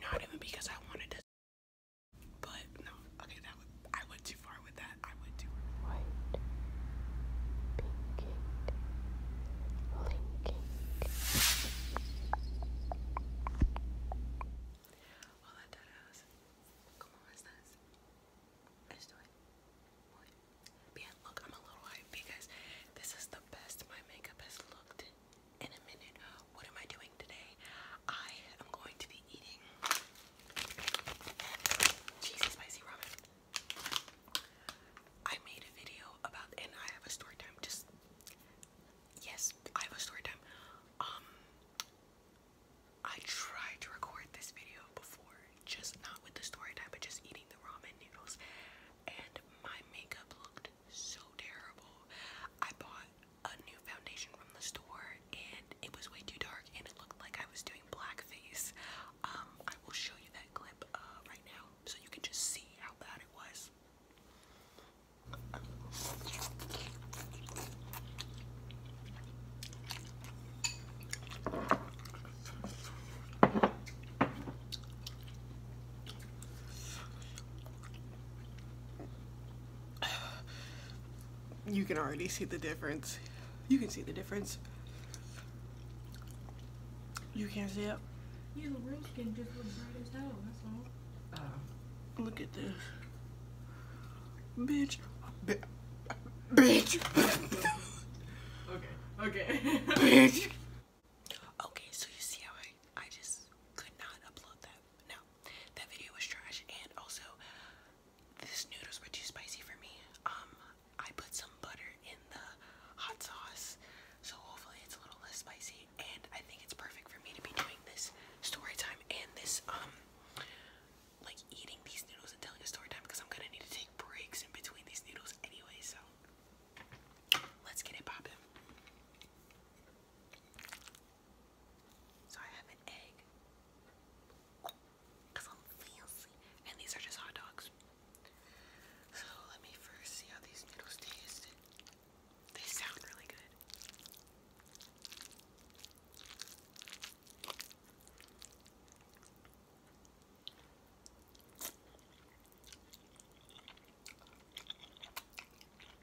Not even because I wanted to. But no, okay, that I went too far with that. I went too far. White, pinking, blinking. Hola, todos. ¿Cómo estás? Estoy muy bien. Look, I'm a little hype because this is the best my makeup has looked in a minute. What am I doing today? I am going to be eating cheesy spicy ramen. I made a video about, and I have a story time. Just yes, I have a story time. Um, I tried to record this video before, just not with the story time, but just eating the ramen noodles, and my makeup looked so terrible. I bought a new foundation from the store and it was way too dark and it looked like I was doing blackface. Um, I will show you that clip uh, right now so you can just see how bad it was. You can already see the difference. You can see the difference. You can't see it? Oh, look at this. Bitch. B bitch. okay, okay. bitch. Okay, so you see how I, I just could not upload that. No, that video was trash, and also this noodles were too spicy for me. Um, I put some butter in the hot sauce, so hopefully it's a little less spicy. And I think it's perfect for me to be doing this story time and this um, like eating these noodles and telling a story time because I'm gonna need to take breaks in between these noodles anyway. So let's get it popping. So I have an egg. i I'm fancy. And these are just hot dogs. So let me first see how these noodles taste. They sound really good.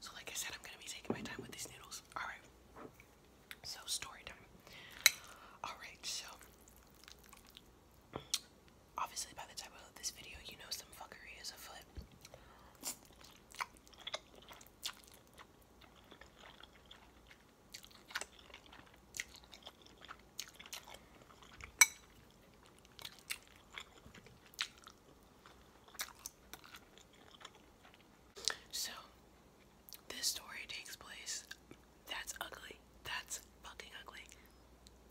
So like I said, I'm gonna be taking my time with these noodles. Alright. So story time. Alright, so obviously by the title of this video you know some fuckery is afoot. So, this story takes place. That's ugly. That's fucking ugly.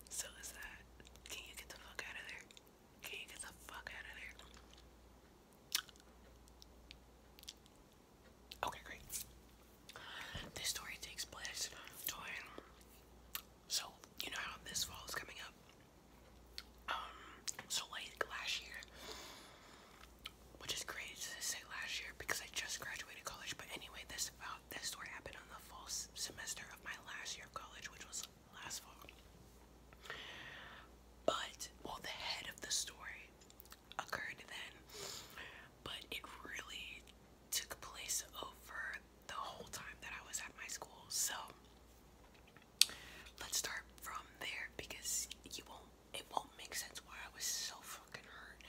So is that. Can you get the fuck out of there? Can you get the fuck out of there? Okay, great. This story takes place so, you know how this fall is coming up? Um, so late last year, which is crazy to say last year because I just graduated college, but anyway, this about uh, this story happened on the fall semester of my last year of college, which was last fall. But well, the head of the story occurred then, but it really took place over the whole time that I was at my school. So let's start from there because you won't it won't make sense why I was so fucking hurt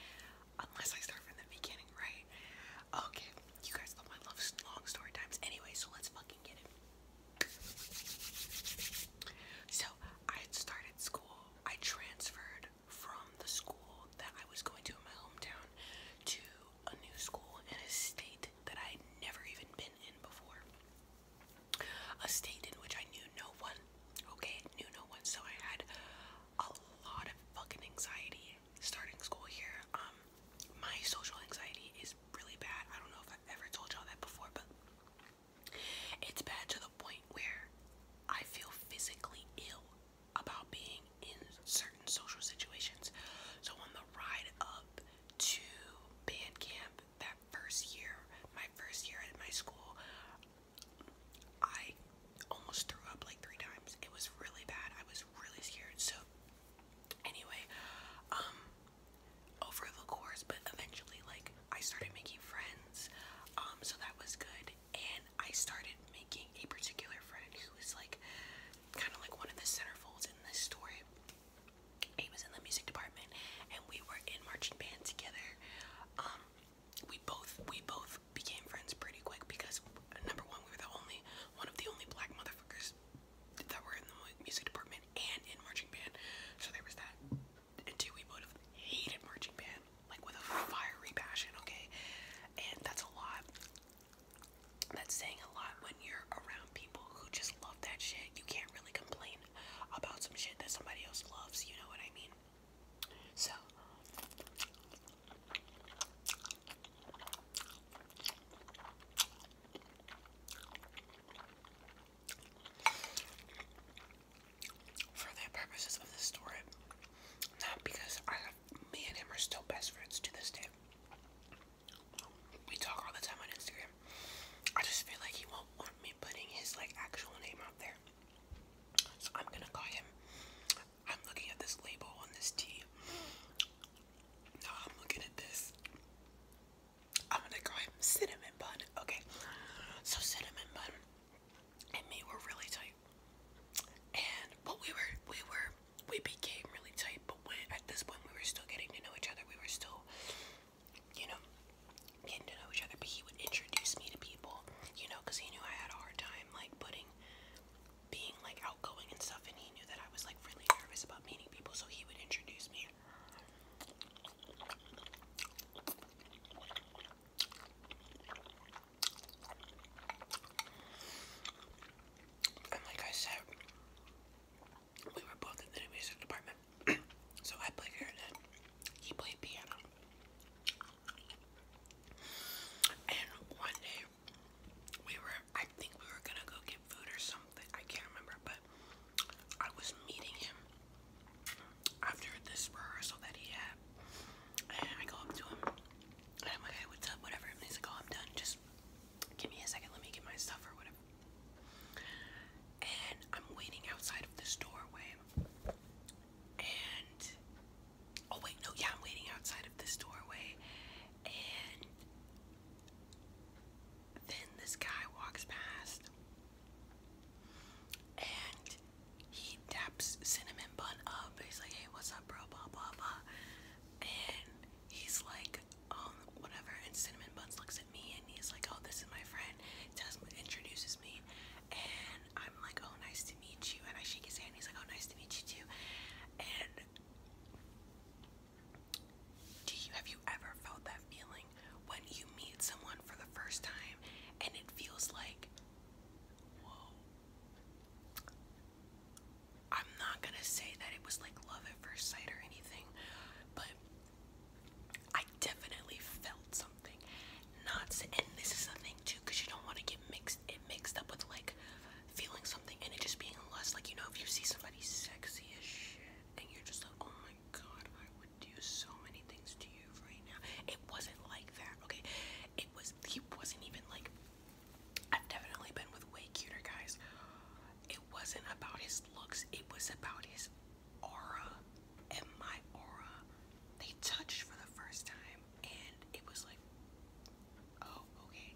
unless I start from the beginning, right? Okay, you guys love my love long story times anyway, so let's fucking get it. So I had started school. I transferred from the school that I was going to in my hometown to a new school in a state that I would never even been in before. A state in which I knew no one. Okay, knew no one. So I had a lot of fucking anxiety starting school here. Um, my social anxiety is really bad. I don't know if I've ever told y'all that before, but it's bad to the point where I feel physically ill about being in certain social situations. So on the ride up to band camp that first year, my first year at my school, I almost threw up like three times. It was really bad. I was really scared. So anyway, um over the course, but eventually like I started making friends. Um so that was good and I started making a particular friend who was like kind of like one of the centerfolds in this story. He was in the music department, and we were in marching band together. Um, we both we both became friends pretty quick because number one, we were the only one of the only black motherfuckers that were in the music department and in marching band. So there was that. And two, we both hated marching band like with a fiery passion. Okay, and that's a lot. That's saying a lot when you're around people who just love that shit. You can't really complain about some shit that somebody else loves, you know what I mean? So. For the purposes of this story, not because I me and him are still best friends to this day. We talk all the time on Instagram. I just feel like he won't want me putting his like actual name out there. So I'm gonna call him. I'm looking at this label on this tea. No, I'm looking at this. I'm gonna call him Cinnamon Bun. Okay. So Cinnamon Bun and me were really tight. And but we were we were we became really tight, but when, at this point, we were still getting to know each other. We were still, you know, getting to know each other. But he would introduce me to people, you know, because he knew I had a hard time, like, putting, being, like, outgoing and stuff. And he knew that I was, like, really nervous about meeting people, so he would introduce me. And like I said, we were both in the music department. so I played clarinet, he played piano. And one day, we were, I think we were gonna go get food or something, I can't remember, but I was meeting him after this rehearsal that he had. And I go up to him I'm like, okay, what's up? Whatever. And he's like, oh, I'm done. Just give me a second. Let me get my stuff or whatever. And I'm waiting outside of this doorway. And oh wait, no, yeah, I'm waiting outside of this doorway. And then this guy walks past. And he taps cinnamon bun up. He's like, hey, what's up, bro? Blah blah blah and he's like, um, whatever. And Cinnamon Buns looks at me and he's like, oh, this is my friend. Tells me, introduces me, and I'm like, oh, nice to meet you. And I shake his hand. He's like, oh, nice to meet you too. And do you have you ever felt that feeling when you meet someone for the first time and it feels like, whoa, I'm not gonna say that it was like love at first sight or anything, but I definitely felt something. Not and this is a thing too, because you don't want to get mixed it mixed up with like feeling something and it just being lust. Like you know, if you see somebody sexy as shit and you're just like, oh my god, I would do so many things to you right now. It wasn't like that, okay? It was he wasn't even like I've definitely been with way cuter guys. It wasn't about his looks, it was about his aura and my aura. They touched for the first time, and it was like, oh, okay.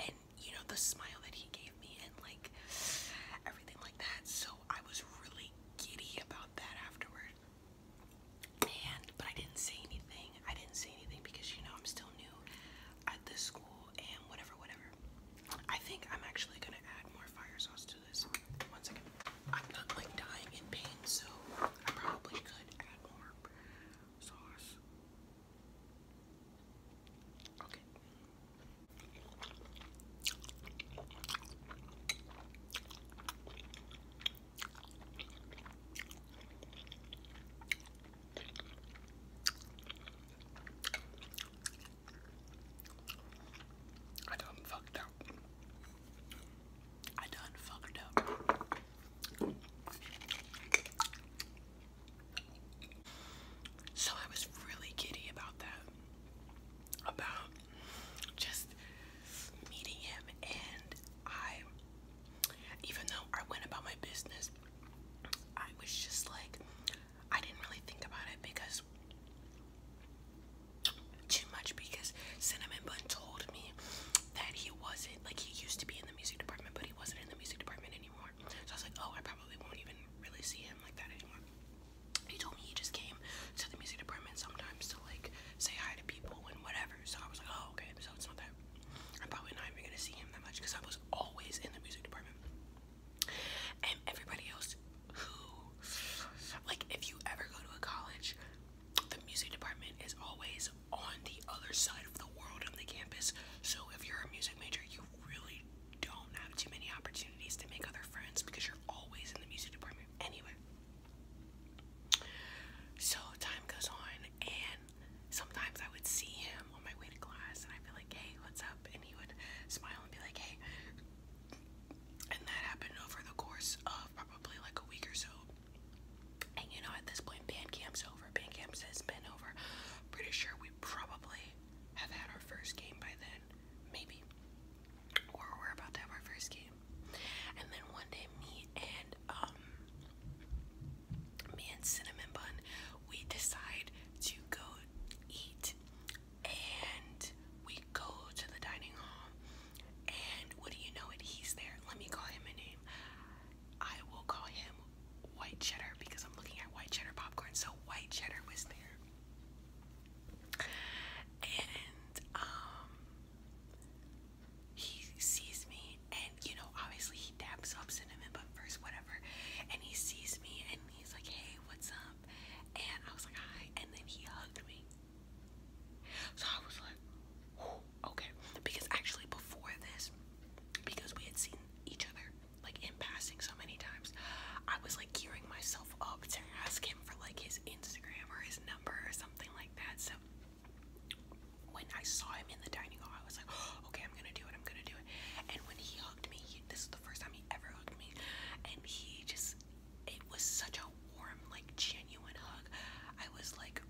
And you know, the smile that he gave me, and like everything like that. So I was really giddy about that afterward. And, but I didn't say anything. I didn't say anything because you know I'm still new at this school and whatever, whatever. I think I'm actually gonna add more fire sauce to this. One second. I'm not like dying in pain, so I probably could add more sauce. Okay. I done fucked up. I done fucked up. So I was really giddy about that. About just meeting him, and I even though I went about my business, I was just like, I didn't really think about it because too much because Cinnamon Bun told me that he wasn't like he used to be in the music department, but he wasn't in the music department anymore. So I was like, oh, I probably won't even really see him like that anymore. He told me he just came to the music department sometimes to like say hi to people and whatever. So I was like, oh, okay, so it's not that. I'm probably not even gonna see him that much because I was always in the music department. And everybody else who, like, if you ever go to a college, the music department is always on the other side of the world on the campus. So if you're a music major, you really don't have too many opportunities to make other friends because you're always in the music department anyway. So time goes on, and sometimes I would see him on my way to class and I'd be like, hey, what's up? And he would smile and be like, hey. And that happened over the course of probably like a week or so. And you know, at this point, band camp's over. Band camp has been over. Pretty sure we probably have had our first game by then. Maybe. Or we're about to have our first game. And then one day, me and um, me and Cinnamon Bun, we decide to go eat, and we go to the dining hall. And what do you know? It he's there. Let me call him a name. I will call him White Cheddar because I'm looking at White Cheddar popcorn. So White Cheddar was there, and um, he sees me and you know obviously he dabs up cinnamon but first whatever and he sees me and he's like hey what's up and I was like hi and then he hugged me so I was like okay because actually before this because we had seen each other like in passing so many times I was like gearing myself up to ask him for like his Instagram or his number or something like that so when I saw him in the dining hall, I was like, oh, okay, I'm gonna do it, I'm gonna do it. And when he hugged me, he, this is the first time he ever hugged me, and he just, it was such a warm, like, genuine hug. I was like,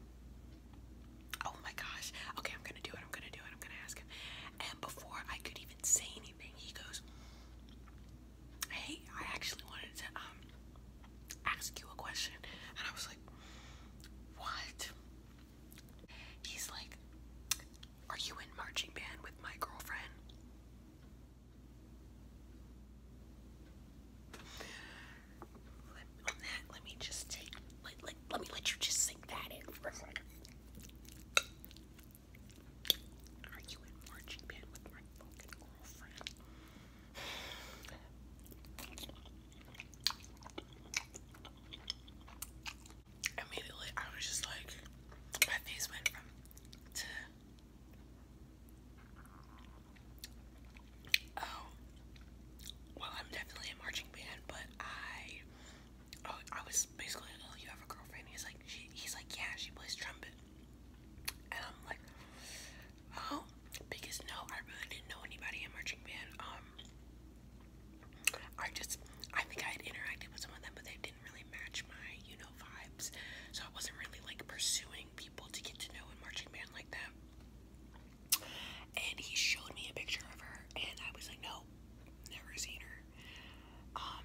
oh my gosh, okay, I'm gonna do it, I'm gonna do it, I'm gonna ask him. And before I could even say anything, he goes, hey, I actually wanted to, um, ask you a question. And I was like, what? He's like, are you in marching band with my girlfriend? Let, me just take, let, me let you just sink that in Are you in marching band with my fucking girlfriend? Immediately, I was just like, my face went from to oh, well, I'm definitely a marching band, but I, oh, I was basically, oh, you have a girlfriend. He's like, she, he's like, yeah, she plays trumpet, and I'm like, Oh, because no, I really didn't know anybody in marching band. Um, I just, I think I had interacted with some of them, but they didn't really match my, you know, vibes. So I wasn't really like pursuing people to get to know in marching band like that. And he showed me a picture of her, and I was like, no, never seen her. Um,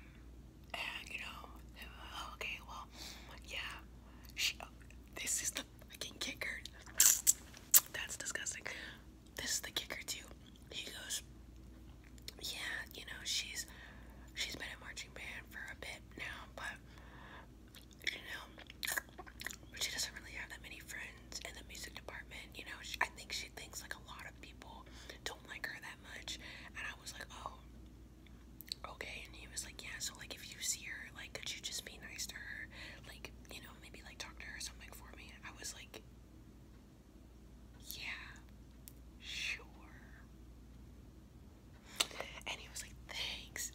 and you know, okay, well, yeah, she, this is the fucking kicker. That's disgusting. This is the kicker too. He goes, yeah, you know, she's she's been a marching band for a bit now, but you know, she doesn't really have that many friends in the music department. You know, I think she thinks like a lot of people don't like her that much. And I was like, oh, okay. And he was like, yeah. So like, if you see her, like, could you just be nice to her? Like, you know, maybe like talk to her or something for me. I was like, yeah, sure. And he was like, thanks.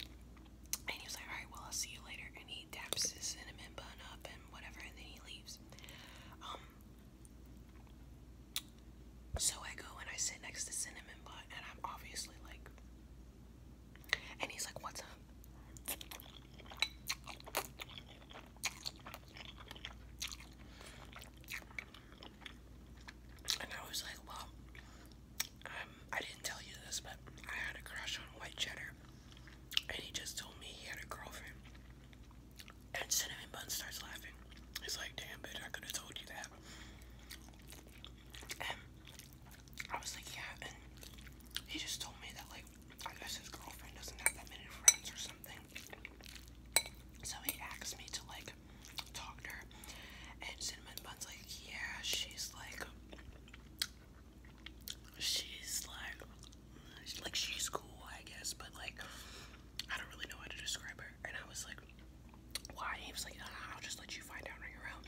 And he was like, alright, well, I'll see you later. And he taps his cinnamon bun up and whatever, and then he leaves. Um, so I go and I sit next to Cinnamon Bun, and I'm obviously like, and he's like, What's up? And I was like, Well, um, I didn't tell you this, but I had a crush on White Cheddar. And he just told me he had a girlfriend. And Cinnamon Bun starts laughing. He's like, Damn, bitch, I could have told you that. Um, I was like, yeah, and he just told me that, like, I guess his girlfriend doesn't have that many friends or something. So he asked me to, like, talk to her. And Cinnamon Bun's like, yeah, she's like, she's like, she's like, she's cool, I guess, but, like, I don't really know how to describe her. And I was like, why? he was like, ah, I'll just let you find out on your own.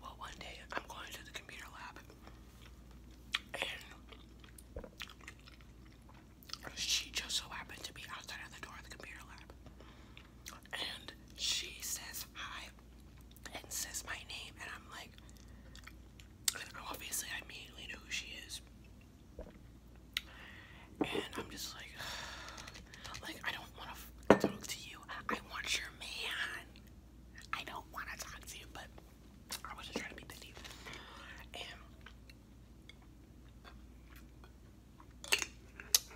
Well, one day I'm going to the computer lab and she just so happened to be outside of the door of the computer lab. And she says hi and says my name, and I'm like, obviously, I immediately know who she is. And I'm just like, like I don't want to talk to you. I want your man. I don't want to talk to you, but I wasn't trying to be petty. And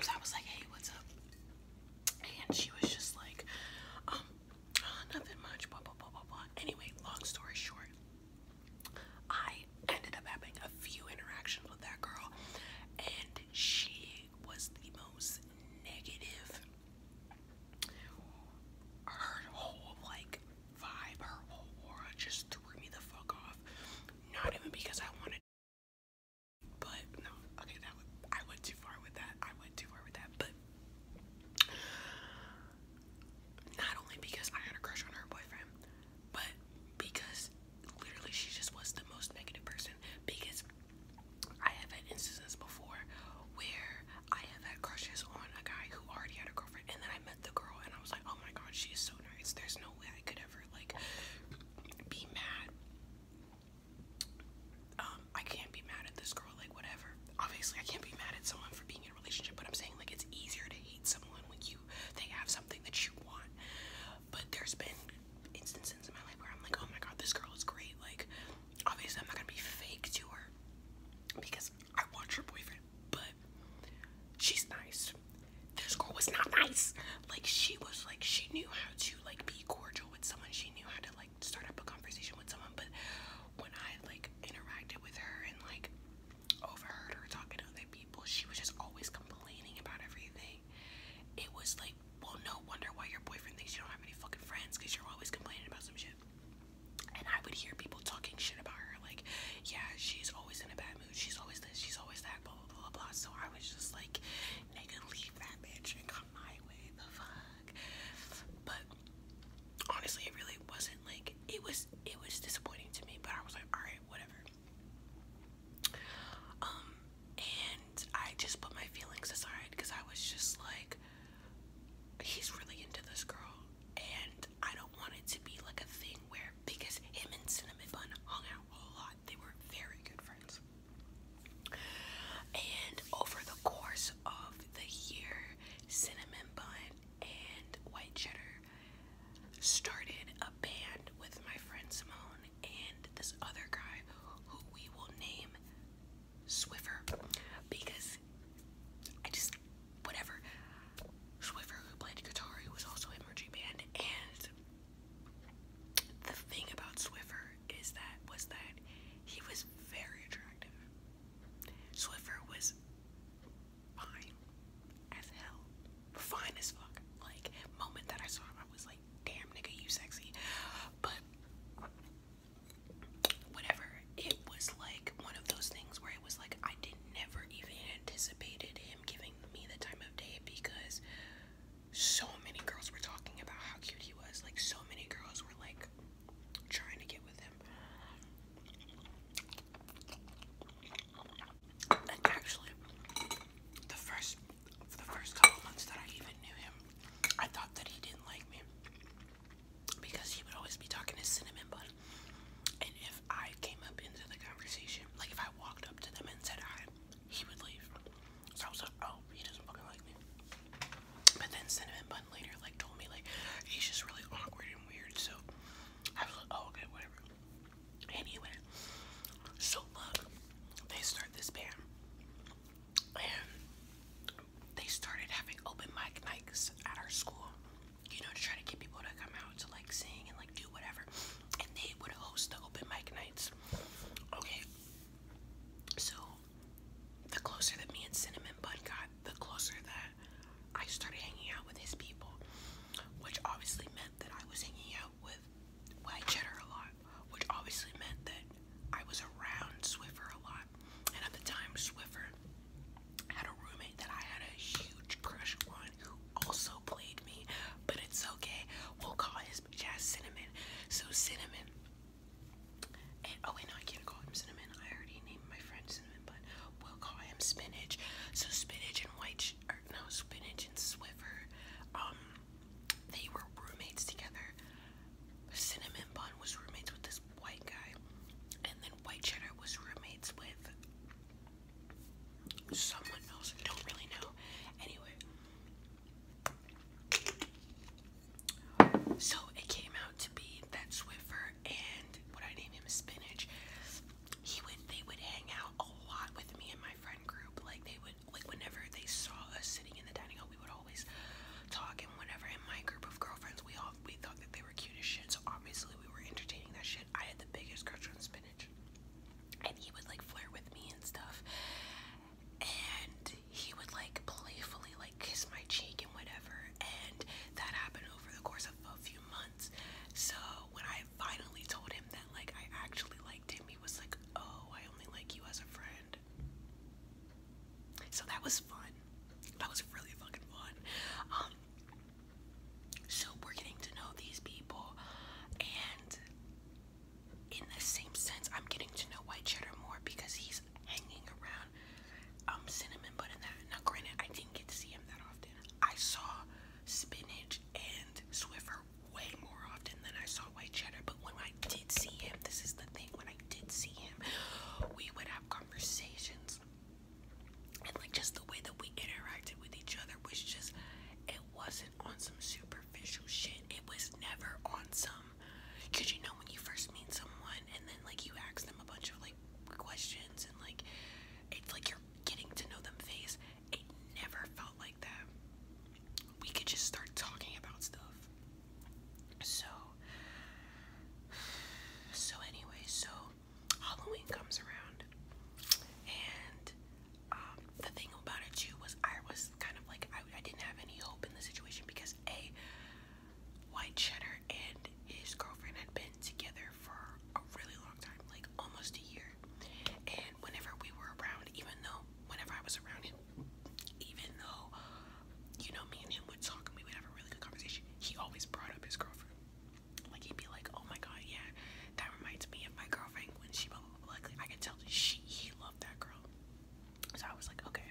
so I was like, hey, what's up? And she was just like, um, nothing much, blah, blah, blah, blah, blah. Anyway, long story short, I ended up having a few interactions with that girl, and she was the most negative. Her whole, like, vibe, her whole aura just threw me the fuck off. Not even because I wanted but no, okay, that I went too far with that. I went too far with that. But not only because I had a crush on her boyfriend, but because literally she just was the most negative person. Because I have had instances before where I have had crushes on a guy who already had a girlfriend, and then I met the girl, and I was like, oh my god, she is so nice. There's no way I could ever, like, be mad. Um, I can't be mad at this girl, like whatever. Obviously, I can't be mad at someone for being in a relationship, but I'm saying like it's easier to hate someone when you they have something that you want. But there's been instances in my life where I'm like, oh my god, this girl is great. Like, obviously, I'm not gonna be fake to her because I want her boyfriend, but she's nice. This girl was not nice. Like, she was like, she knew how to like be cordial with someone. She knew how to like start up a conversation with someone, but when I like interacted with her and like overheard her talking other people, she was just always complaining about everything. It was like, well, no wonder why your boyfriend thinks you don't have any fucking friends because you're always complaining about some shit. And I would hear people talking shit about her, like, yeah, she's always in a bad mood, she's always this, she's always that, blah blah blah blah. So I was just like, nigga, leave that bitch my way, the fuck. But honestly, it really wasn't like it was. It was disappointing to me, but I was like, all right, whatever. Um, and I just put my feelings aside because I was just like, he's really into this girl, and I don't want it to be like a thing where because him and Cinnamon Bun hung out a lot, they were very good friends. And over the course of the year cinnamon bun and white cheddar started a band with my friend Simone and this other guy who we will name Swiffer because I just whatever Swiffer who played guitar who was also in Mergy Band and the thing about Swiffer is that was that he was very attractive. Swiffer was fine as hell. Fine as fuck. Like, moment that I saw him, I was like, damn nigga, you sexy. But whatever. It was like one of those things where it was like I did never even anticipated him giving me the time of day because so many girls were talking about how cute he was. Like so many girls were like trying to get with him. actually, the first for the first couple months that I even knew him, I thought that he didn't like me because he would always be talking to cinnamon bun. And if I came up into the conversation, like if I walked up to them and said hi, he would leave. So I was like, oh, he doesn't fucking like me. But then Cinnamon Bun later like told me like he's just really awkward and weird. So I was like, oh, okay, whatever. Anyway, so they start this band and they started having open mic nights at our school, you know, to try to get people to come out to like sing and like do whatever. And they would host the open mic nights. Okay. So the closer that me and Cinnamon Bud got, the closer that I started hanging out with his people, which obviously meant that I was hanging out with White Cheddar a lot, which obviously meant that I was around Swiffer a lot. And at the time, Swiffer had a roommate that I had a huge crush on who also played me, but it's okay. We'll call his jazz Cinnamon. So, Cinnamon oh wait, no, I can't call him Cinnamon. I already named my friend Cinnamon, but we'll call him Spinach. So Spinach and White, no, Spinach and Swiffer, um, they were roommates together. Cinnamon Bun was roommates with this white guy, and then White Cheddar was roommates with someone else. don't really know. Anyway, so it came out to be that Swiffer and what I named him Spinach. He would they would hang out a lot with me and my friend group. Like they would like whenever they saw us sitting in the dining hall, we would always talk and whenever in my group of girlfriends we all we thought that they were cute as shit, so obviously we were entertaining that shit. I had the biggest crush on Spinach. And he would like flirt with me and stuff and he would like playfully like kiss my cheek and whatever and that happened over the course of a few months so when I finally told him that like I actually liked him he was like oh I only like you as a friend so that was fun that was really fucking fun um so we're getting to know these people and in the same sense I'm getting to know White Cheddar more because he's hanging around um, Cinnamon Bud and that. Now, granted, I didn't get to see him that often. I saw Spinach and Swiffer way more often than I saw White Cheddar, but when I did see him, this is the thing, when I did see him, we would have conversations. And like just the way that we interacted with each other was just, it wasn't on some superficial shit. It was never on some Cause you know when you first meet someone and then like you ask them a bunch of like questions and like it's like you're getting to know them face. It never felt like that. We could just start talking about stuff. So so anyway, so Halloween comes around and um, the thing about it too was I was kind of like I didn't have any hope in the situation because a White Cheddar and his girlfriend had been together for a really long time, like almost a year. And whenever we were around, even though whenever I was around him, even though you know me and him would talk and we would have a really good conversation, he always brought up his girlfriend. Like he'd be like, "Oh my god, yeah, that reminds me of my girlfriend when she blah blah Like I can tell that she he loved that girl. So I was like, okay,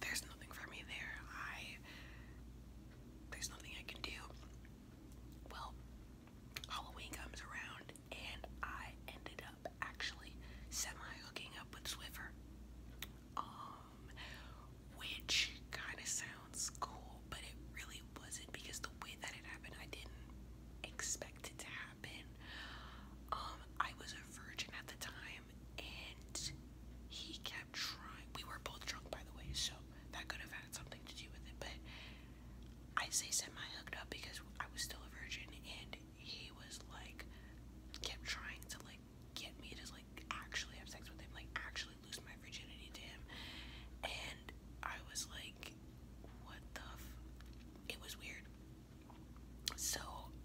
there's nothing for me there. I there's nothing I can do. Well, Halloween comes around and I ended up actually semi hooking up with Swiffer. Um which kinda sounds cool, but it really wasn't because the way that it happened I didn't expect it to happen. Um I was a virgin at the time and he kept trying. We were both drunk, by the way, so that could have had something to do with it. But I say semi hooked up because I was still a virgin and he was like, kept trying to like get me to like actually have sex with him, like actually lose my virginity to him. And I was like, what the f? It was weird. So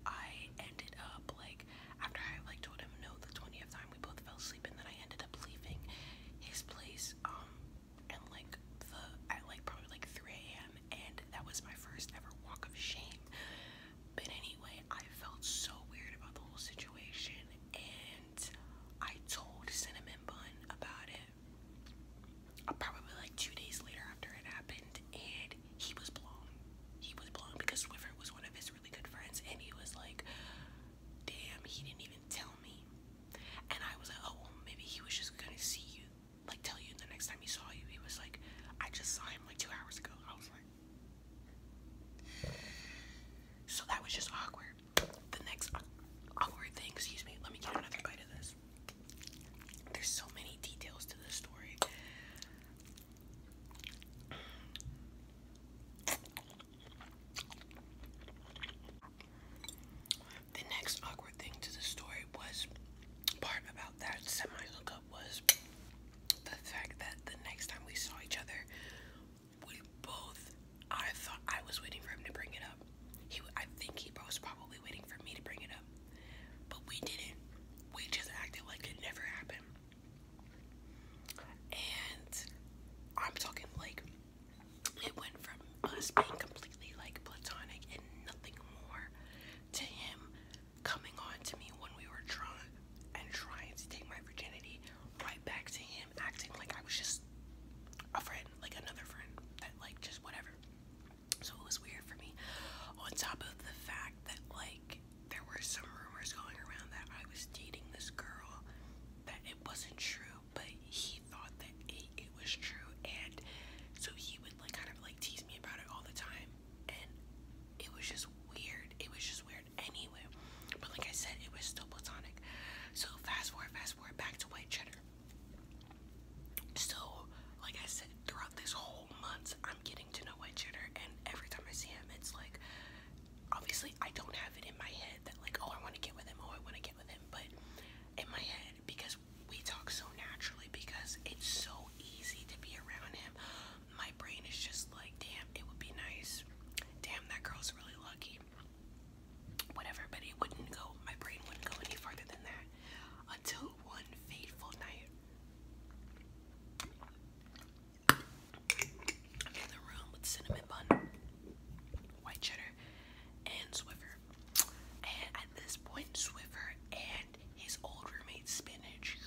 I ended up like after I like told him no the 20th time we both fell asleep and then I ended up leaving his place um and like the at like probably like 3 a.m. and that was my first ever walk of shame. But anyway, I felt so weird about the whole situation and I told Cinnamon Bun about it. Uh, probably like two days later after it happened, and he was blown. He was blown because Swiffer was one of his really good friends, and he was like, damn, he didn't even tell me. And I was like, oh, maybe he was just gonna see you, like, tell you the next time he saw you. He was like, I just saw him like two hours ago. I was like, so that was just awkward. The next awkward thing, excuse me, let me get another bite of this. There's so many details to this story. The next awkward thing to the story was part about that semi lookup was the fact that the next time we saw each other, we both I thought I was waiting for him to bring it up. He I think he was probably waiting for me to bring it up. But we didn't. We just acted like it never happened. And I'm talking like it went from us being completely like platonic and nothing more to him coming on to me when we were drunk and trying to take my virginity right back to him acting like I was just a friend, like another friend that like just whatever. So it was weird for me. On top of the fact that, like, there were some rumors going around that I was dating this girl, that it wasn't true, but he thought that it, was true. And so he would, like, kind of, like, tease me about it all the time. And it was just weird. It was just weird anyway. But, like I said, it was still platonic. So, fast forward, fast forward, back to white cheddar. So, like I said, throughout this whole month, I'm getting to know White Shooter, and every time I see him, it's like, obviously, I don't have it in my head that, like, oh, I want to get with him, oh, I want to get with him, but in my head, because we talk so naturally, because it's so easy to be around him, my brain is just like, damn, it would be nice. Damn, that girl's really lucky. Whatever, but it wouldn't go, my brain wouldn't go any farther than that. Until one fateful night, in the room with cinnamon bun, white cheddar, and Swiffer. And at this point, Swiffer and his old roommate Spinach,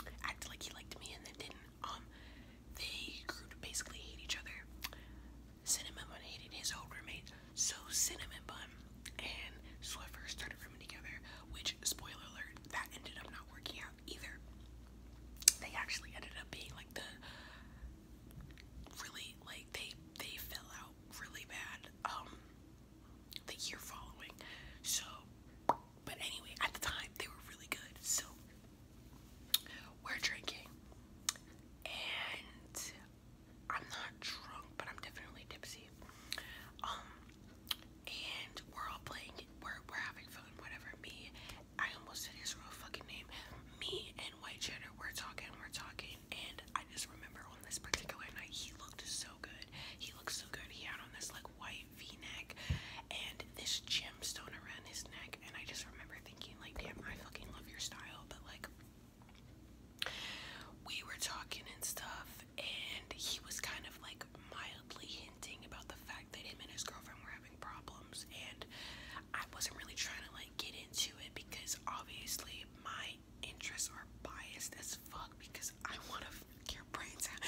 who acted like he liked me and then didn't, um, they grew to basically hate each other. Cinnamon Bun hated his old roommate so Cinnamon Bun and Swiffer started rooming together, which spoiler alert, that ended up not working out either. They actually ended up being like the really like they they fell out really bad um the year following. So but anyway, at the time they were really good. So we're drinking and I'm not drunk, but I'm definitely tipsy. Um, and we're all playing. We're we're having fun. Whatever. Me, I almost said his real fucking name. Me and White Cheddar. We're talking. We're talking. And I just remember on this particular night, he looked so good. He looked so good. He had on this like white V-neck and this gemstone around his neck. And I just remember thinking like, damn, I fucking love your style. But like, we were talking and stuff, and he was kind of like mildly hinting about the fact that him and his girlfriend were having problems, and I wasn't really trying to like get into it because obviously my interests are biased as fuck because I want to fuck your brains out.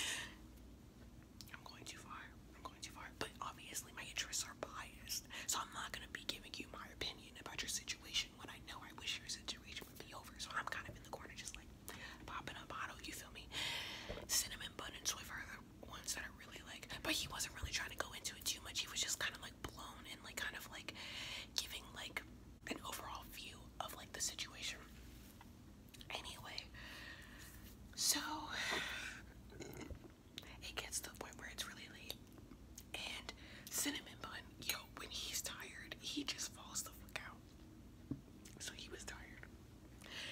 I'm going too far. I'm going too far. But obviously my interests are biased, so I'm not gonna be giving you my opinion about your situation situation I know I wish your situation would be over. So I'm kind of in the corner, just like popping a bottle, you feel me? Cinnamon bun and soy are the ones that are really like. But he wasn't really trying to go into it too much. He was just kind of like blown and like kind of like giving like an overall view of like the situation. Anyway, so it gets to the point where it's really late. And cinnamon bun, yo, when he's tired, he just falls the fuck out. So he was tired.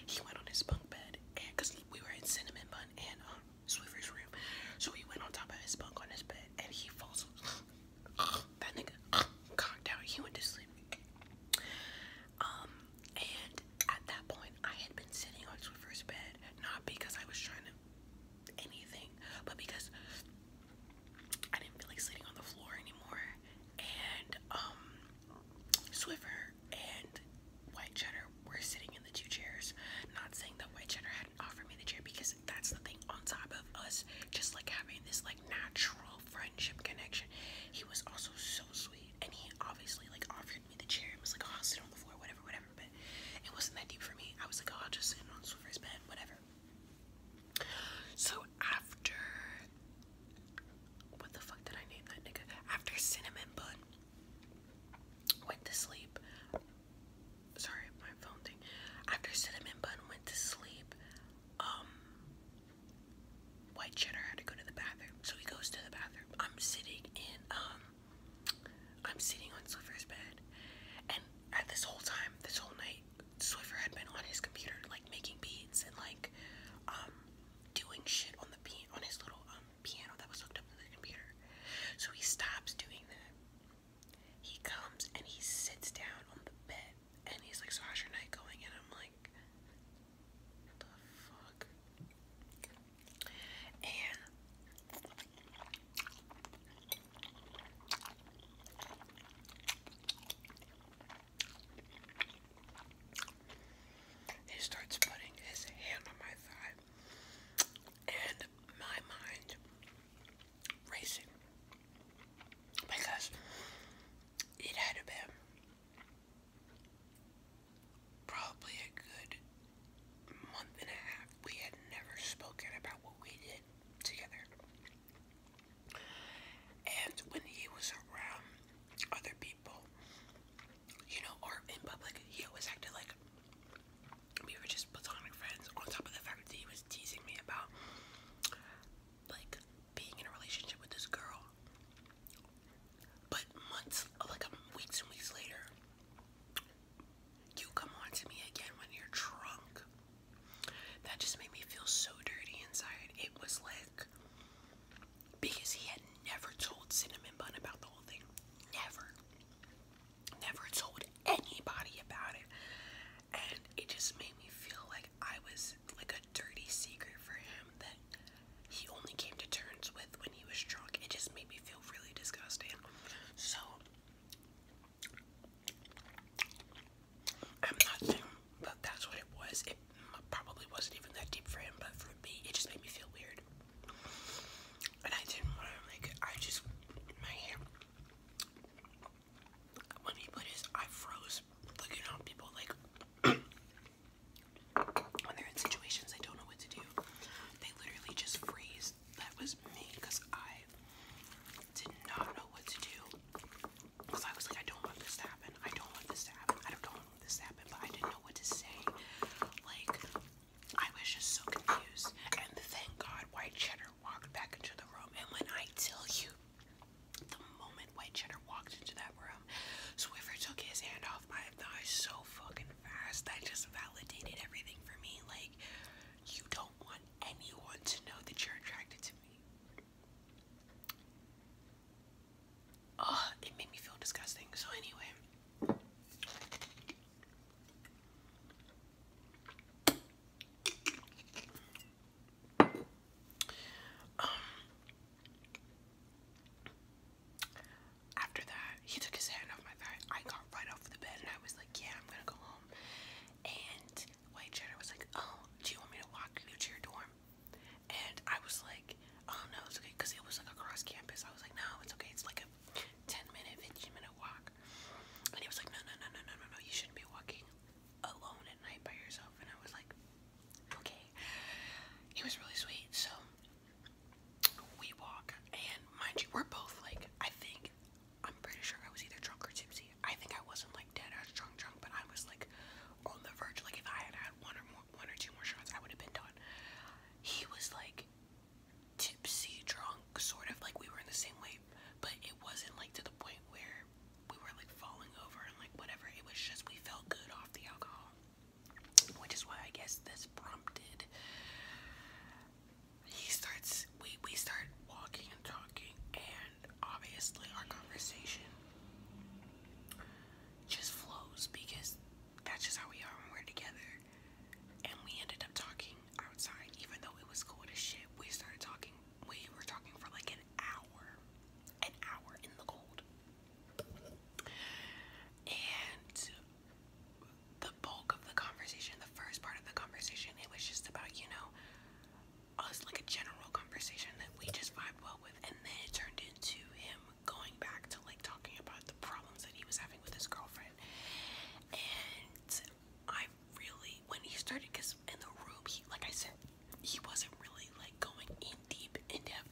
He went on his bunk bed, and cause we were in Cinnamon Bun and um, Swiffer's room, so he went on top of his bunk on his bed, and he falls. that nigga conked out. He went to sleep. Um, and at that point, I had been sitting on Swiffer's bed, not because I was trying to anything, but because I didn't feel like sitting on the floor anymore. And um, Swiffer and White Cheddar were sitting in the two chairs. Not saying that White Cheddar had offered me the chair because that's the thing on top of us just like having this like natural friendship connection. He was also so sweet and he obviously like offered me the chair and was like, oh, sit on the floor, whatever, whatever. But it wasn't that deep for me. I was like, oh, I'll just sit on Swiffer's bed, whatever. So after what the fuck did I name that nigga? After Cinnamon Bun went to sleep. Sorry, my phone thing. After Cinnamon Bun went to sleep, um, White Cheddar had to go to the bathroom. So he goes to the bathroom. I'm sitting in um I'm sitting on Sliver's bed and at this whole time, this whole night night, Swiffer had been on his computer, like making beats and like um, doing shit on the on his little um, piano that was hooked up to the computer. So he stops doing that. He comes and he sits down on the bed and he's like, So how's your night going? And I'm like, What the fuck? And he starts putting his hand on my thigh, and my mind racing because it had to been probably a good month and a half. We had never spoken about what we did together. And when he was around other people, you know, or in public, he always acted like we were just platonic friends, on top of the fact that he was teasing me about like being in a relationship with this girl. But months, like weeks and weeks later, you come on to me again when you're drunk. That just made me feel so dirty inside. It was like because he had never told Cinnamon Bun about the whole thing. Never. Never told anybody about it. And it just made me feel like I was like a dirty secret for him that he only came to terms with when he was drunk. It just made me feel really disgusting. So I'm not saying that that's what it was. It probably wasn't even that deep for him, but for me, it just made me feel weird. And I didn't want to, like, I just, my hair, when he put his, I froze looking on people, like, when they're in situations they don't know what to do, they literally just freeze. That was me, I did not know what to do. Because I was like, I don't want this to happen. I don't want this to happen. I don't want this to happen. But I didn't know what to say. Like, I was just so confused. And thank God White Cheddar walked back into the room. And when I tell you, the moment White Cheddar walked into that room, Swiffer took his hand off my thigh so fucking fast. That just validated everything for me. Like, you don't want anyone to know that you're attracted to me. Ugh, it made me feel disgusting. So, anyway. Um, after that, he took his hand off my thigh. I got right off the bed and I was like, Yeah, I'm gonna go home. And this white cheddar was like, "Oh, do you want me to walk you to your dorm?" And I was like, "Oh no, it's okay," because it was like across campus. I was like, "No, it's okay. It's like a 10-minute, 15-minute walk." And he was like, "No, no, no, no, no, no, no. You shouldn't be walking alone at night by yourself." And I was like, "Okay." He was really sweet, so we walk, and mind you, we're both like, I think I'm pretty sure I was either drunk or tipsy. I think I wasn't like dead ass drunk drunk, but I was like on the verge. Like if I had had one or more, one or two more shots, I would have been done. He was like tipsy drunk, sort of like we were in the same way, but it wasn't like to the point where we were like falling over and like whatever. It was just we felt good off the alcohol, which is why I guess this prompted he starts we we start walking and talking and obviously our conversation just flows because that's just how we are when we're together and we ended up talking outside even though it was cold as shit we started talking we were talking for like an hour an hour in the cold and the bulk of the conversation the first part of the conversation it was just about you know us like a general conversation that we just vibed well with, and then it turned into him going back to like talking about the problems that he was having with his girlfriend. And I really, when he started, because in the room, he like I said, he wasn't really like going in deep in depth,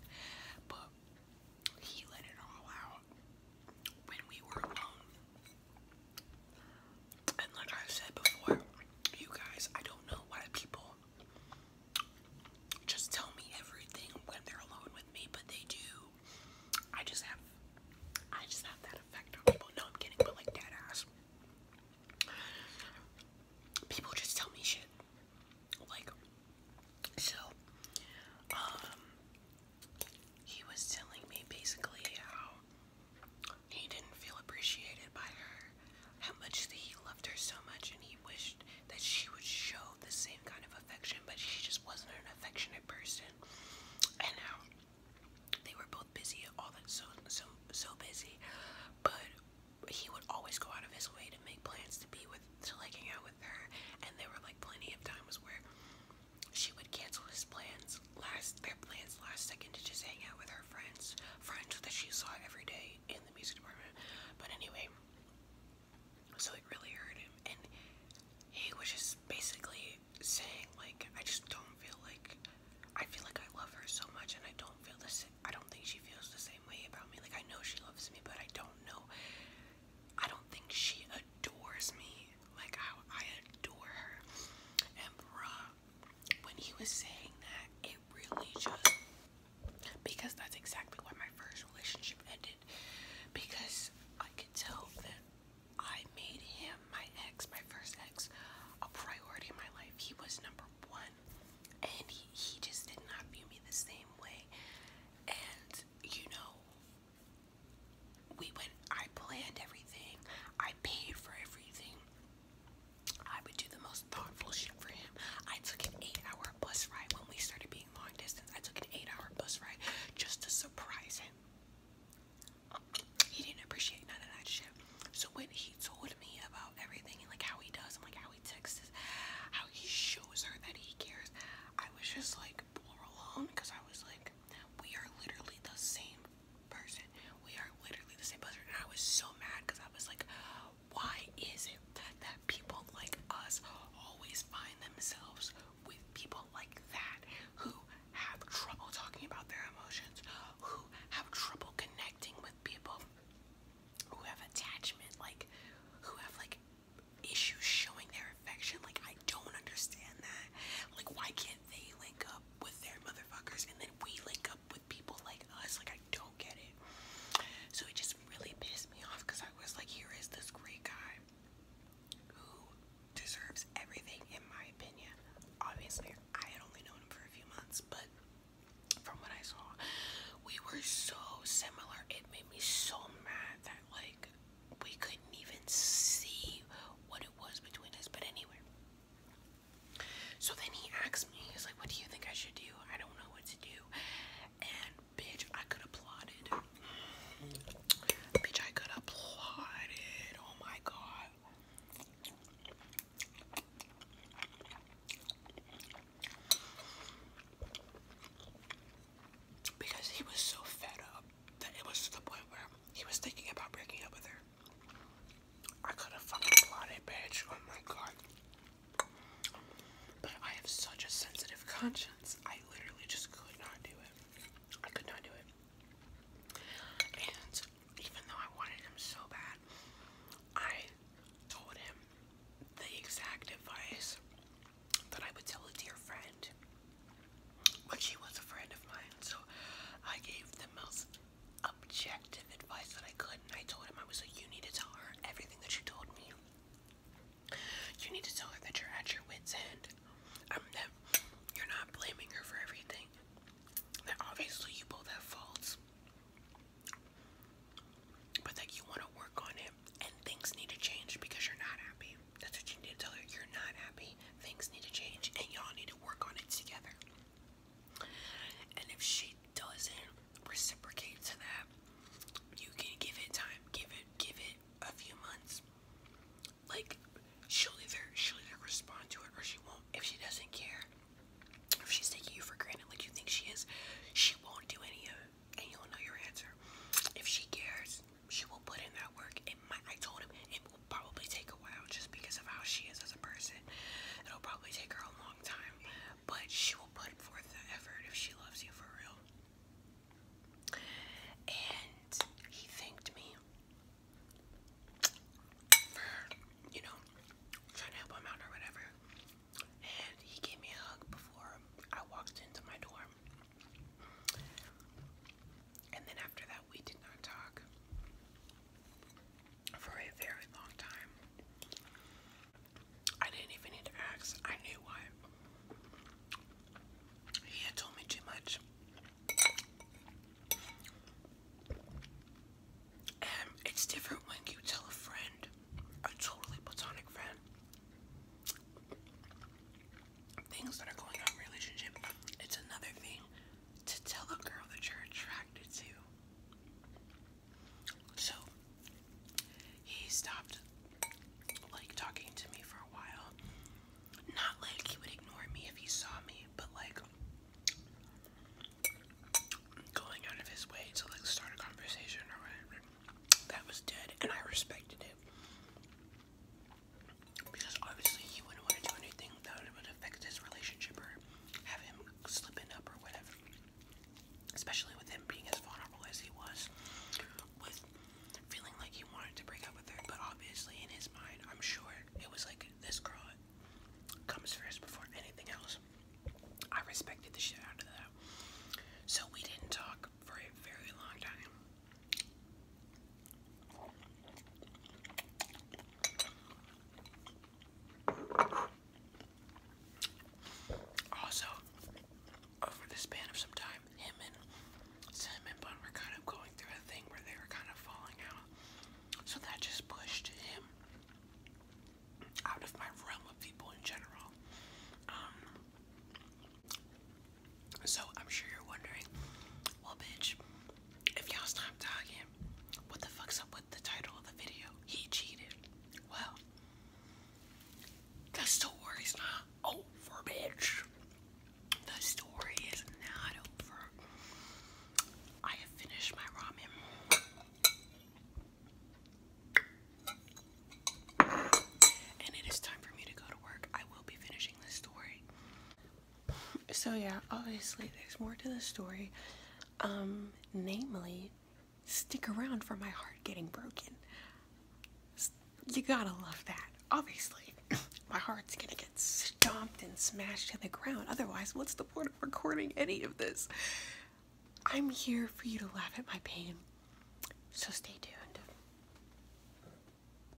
but he let it all out when we were alone. And like I've said before, you guys, I don't know why people just tell me everything when they're alone with me, but they do. I just have I just have that effect on people. No, I'm kidding, but like dead ass. People just tell me shit. Like so um he was telling me basically how he didn't feel appreciated by her, how much he loved her so much, and he wished that she would show the same kind of affection, but she just wasn't an affectionate person. And how they were both busy, all that so so so busy, but he would always go out of his way to make plans to be with, to like hang out with her, and there were like plenty of times where she would cancel his plans last their plans last second to just hang out with her friends, friends that she saw every day in the music department. But anyway, so it really hurt him, and he was just basically saying like, I just don't feel like I feel like I love her so much, and I don't feel the same. I don't think she feels the same way about me. Like I know she loves me, but I don't know. I don't think she adores me like how I adore her. And when he was saying that, it really just because that's exactly why my first relationship ended. Because I could tell that I made him my ex, my first ex, a priority in my life. He was number one, and he, he just did not view me the same way. And you know, we went, I planned everything, I paid for everything. I would do the most thoughtful shit for him. I took an eight hour bus ride when we started being long distance. I took an eight hour bus ride just to surprise him. He didn't appreciate none of that shit. So when he told me about everything and like how he does and like how he texts, how he shows her that he cares, I was just like blown alone because I was like, we are literally the same person. We are literally the same person. And I was so mad because I was like, why is it that people like us always find themselves with people like that who have trouble talking about their emotions, who have trouble connecting with people, who have attachment, like who have like issues showing their affection? Like I don't understand that. Like why can't they link up with their motherfuckers, and then we link up with people like us. Like, I don't get it. So it just really pissed me off because I was like, here is this great guy who deserves everything, in my opinion. Obviously, I had only known him for a few months, but from what I saw, we were so similar. It made me so mad that, like, we couldn't even see what it was between us, but anyway. So then he asked me, he's like, What do you think I should do? I don't know what to do. And bitch, I could have plotted. bitch, I could have plotted. Oh my god. Because he was so fed up that it was to the point where he was thinking about breaking up with her. I could have fucking blotted, bitch. Oh my god. But I have such a sensitive conscience. I literally just could not do it. I could not do it. And even though I wanted him so bad, I told him the exact advice that I would tell a dear friend. But she was a friend of mine, so I gave the most objective advice that I could. And I told him, I was like, you need to tell her everything that you told me. You need to tell her that you're at your wit's end. Um, that you're not blaming her for everything. That obviously you both have faults. But that you want to work on it and things need to change because you're not happy. That's what you need to tell her. You're not happy. Things need to change, and y'all need to work on it together. And if she doesn't reciprocate to that, you can give it time. Give it, give it a few months. Like she'll either she'll either respond to it or she won't. If she doesn't care, if she's taking you for granted like you think she is, she won't do any of it, and you'll know your answer. If she cares, she will put in that work. It I told him it will probably take a while just because of how she is as a person. It'll probably take her a long time, but she will put forth the effort if she loves you for real. And he thanked me you know, trying to help him out or whatever. And he gave me a hug before I walked into my dorm. And then after that, we did not talk for a very long time. I didn't even need to ask, I knew why. He had told me too much. Um, it's different when you tell a friend, a totally platonic friend, things that are going on in relationship, it's another thing to tell a girl that you're attracted to. So he stopped like talking to me for a while. Not like he would ignore me if he saw me, but like going out of his way to like start a conversation or whatever. That was dead and I respected it. Because obviously he wouldn't want to do anything that would affect his relationship or have him slipping up or whatever. Especially with him being as vulnerable as he was, with feeling like he wanted to break up with her, but obviously in his mind, I'm sure it was like this girl comes first before anything else. I respected the shit out of that. So we didn't talk for a very long time. Also, over the span of some time, him and Cinnamon were kind of going through a thing where they were kind of falling out. So that just pushed him out of my realm of people in general. Um, so I'm sure you're wondering, well, bitch, if y'all stop talking, what the fuck's up with the title of the video? He cheated. Well, the story's not over, bitch. The story is not over. I have finished my ramen. And it is time for me to go to work. I will be finishing this story so yeah, obviously there's more to the story. Um, namely, stick around for my heart getting broken. You gotta love that. Obviously, my heart's gonna get stomped and smashed to the ground. Otherwise, what's the point of recording any of this? I'm here for you to laugh at my pain. So stay tuned.